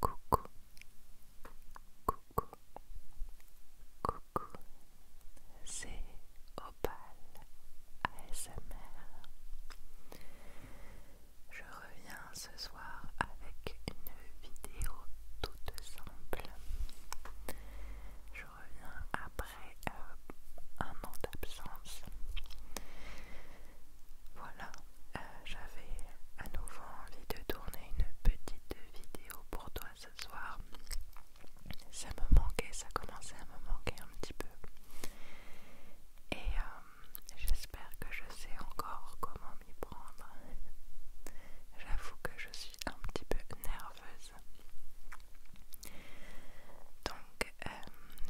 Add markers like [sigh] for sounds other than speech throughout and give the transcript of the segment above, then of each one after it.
Coucou, coucou, coucou, c'est Opal ASMR. Je reviens ce soir avec une vidéo toute simple. Je reviens après euh, un an d'absence. Voilà, euh, j'avais à nouveau envie de tourner une petite vidéo pour toi ce soir. Ça me manquait, ça commençait à me manquer un petit peu. Et euh, j'espère que je sais encore comment m'y prendre. J'avoue que je suis un petit peu nerveuse. Donc euh,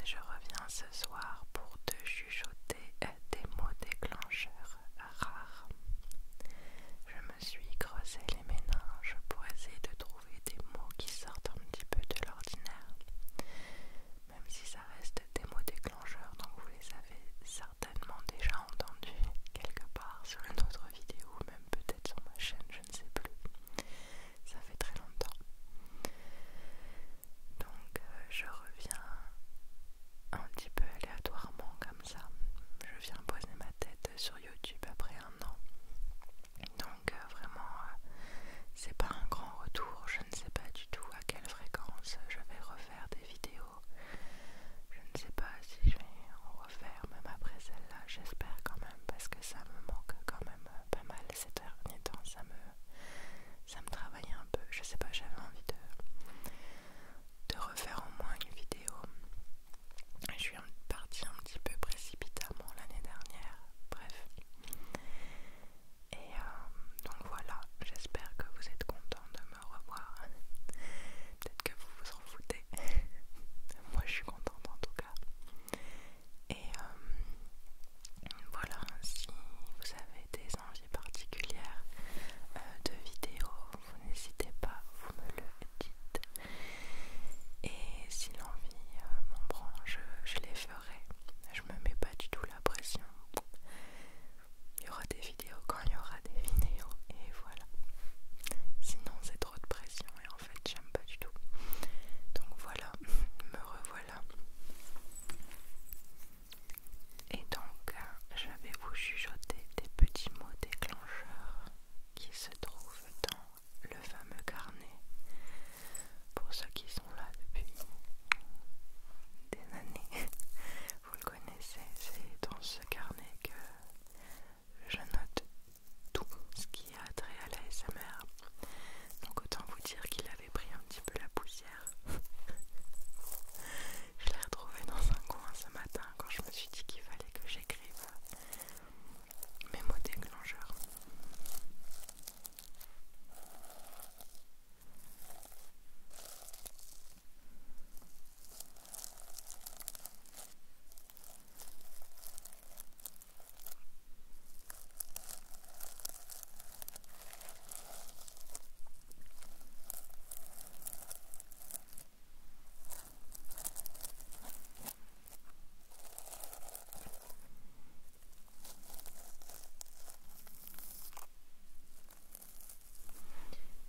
je reviens ce soir pour te chuchoter des euh, mots déclencheurs rares. Je me suis creusé les méninges pour essayer de trouver des mots qui sortent un petit peu de l'ordinaire. Même si ça reste des mots déclencheurs, donc vous les avez certainement déjà entendus quelque part sur une autre vidéo, même peut-être sur ma chaîne, je ne sais plus. Ça fait très longtemps. Donc euh, je reviens un petit peu aléatoirement comme ça. Je viens poser ma tête sur YouTube après un an. Donc euh, vraiment, euh, c'est pas un grand retour. Je ne sais pas du tout à quelle fréquence je vais refaire des vidéos. Je ne sais pas si je vais en refaire même après celle-là. J'espère quand même parce que ça me manque quand même pas mal ces derniers temps. Ça me ça me travaillait un peu. Je sais pas, j'avais envie de, de refaire au moins une vidéo. Je suis partie un petit peu précipitamment l'année dernière, bref. Et euh, donc voilà, j'espère que vous êtes content de me revoir. Peut-être que vous vous en foutez. [laughs] Moi je suis contente en tout cas. Et euh, voilà, si vous avez des envies particulières euh, de vidéos, vous n'hésitez pas, vous me le dites. Et si l'envie euh, m'embrange, je, les ferai. Je me mets pas du tout la pression. Il y aura des vidéos quand il y aura des vidéos, et voilà. Sinon, c'est trop de pression, et en fait, j'aime pas du tout. Donc voilà, [laughs] me revoilà et donc, euh, je vais vous chuchoter des petits mots déclencheurs qui se trouvent dans le fameux carnet. Pour ceux qui sont là depuis des années, [laughs] vous le connaissez, c'est dans ce carnet que je note tout ce qui a trait à la SMR. Donc autant vous dire qu'il avait pris un petit peu la poussière [laughs] je l'ai retrouvé dans un coin ce matin quand je me suis dit qu'il fallait que j'écrive mes mots déclencheurs.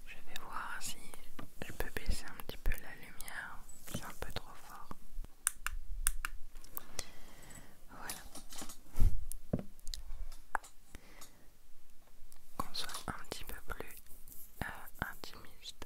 Je vais voir si je peux baisser un petit peu la lumière, c'est un peu trop fort. Voilà. Qu'on soit un petit peu plus euh, intimiste.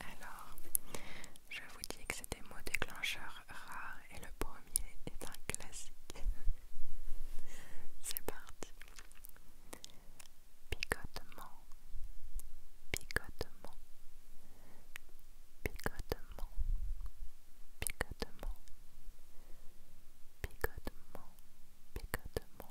Alors, je vous dis que c'est des mots déclencheurs rares et le premier est un classique. [laughs] c'est parti. Picotement, picotement, picotement, picotement, picotement, picotement.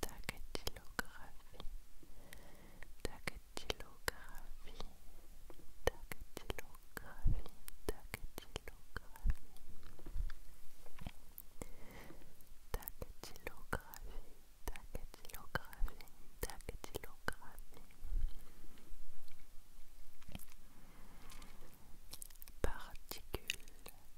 dactylographie, dactylographie, dactylographie, dactylographie, dactylographie, dactylographie, dactylographie, particule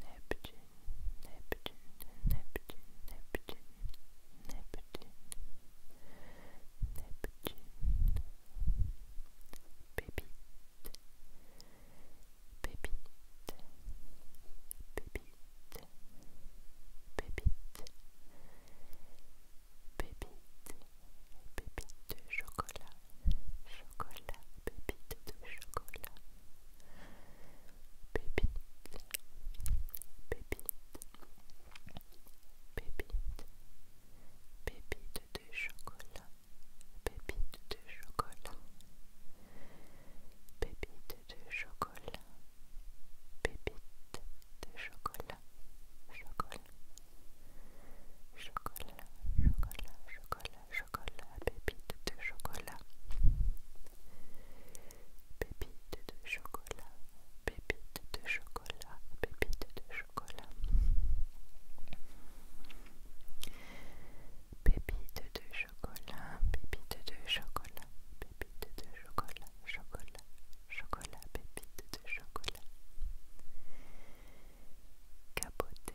Neptün, Neptün, Neptün, Neptün, Neptün, Neptün, Bebit, Bebit, Bebit, Bebit, Bebit, Bebit de chocolat, chocolat, Bebit de chocolat. Bebit de chocolat, pépite, pépite, pépite, pépite de chocolat, pépite de chocolat, pépite de chocolat, pépite de chocolat, chocolat, chocolat, chocolat, chocolat, chocolat, pépite de chocolat. Pépite de chocolat, pépite de chocolat, pépite de chocolat. Pépite de chocolat, pépite de chocolat, pépite de chocolat, chocolat, chocolat, pépite de chocolat. capoter,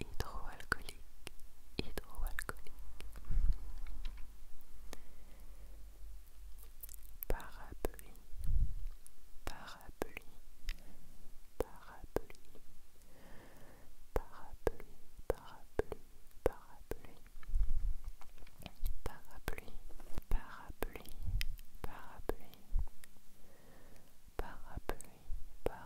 hydroalcoolique, hydroalcoolique. Parapluie, parapluie, parapluie, parapluie, parapluie, parapluie, parapluie, parapluie, parapluie, parapluie, parapluie.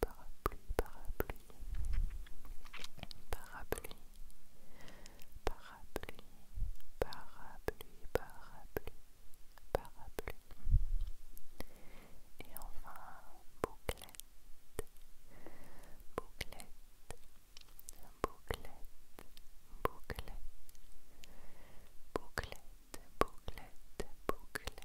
parapluie, parapluie, parapluie, parapluie, parapluie, parapluie, parapluie. Et enfin, bouclette, bouclette, bouclette, bouclette, bouclette, bouclette, bouclette,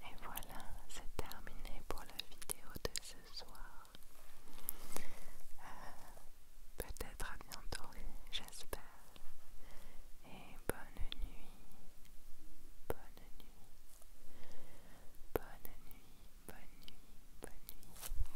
Et voilà, c'est terminé pour la vidéo de ce soir. Euh, peut-être à bientôt, j'espère. Et bonne nuit, bonne nuit, bonne nuit, bonne nuit, bonne nuit.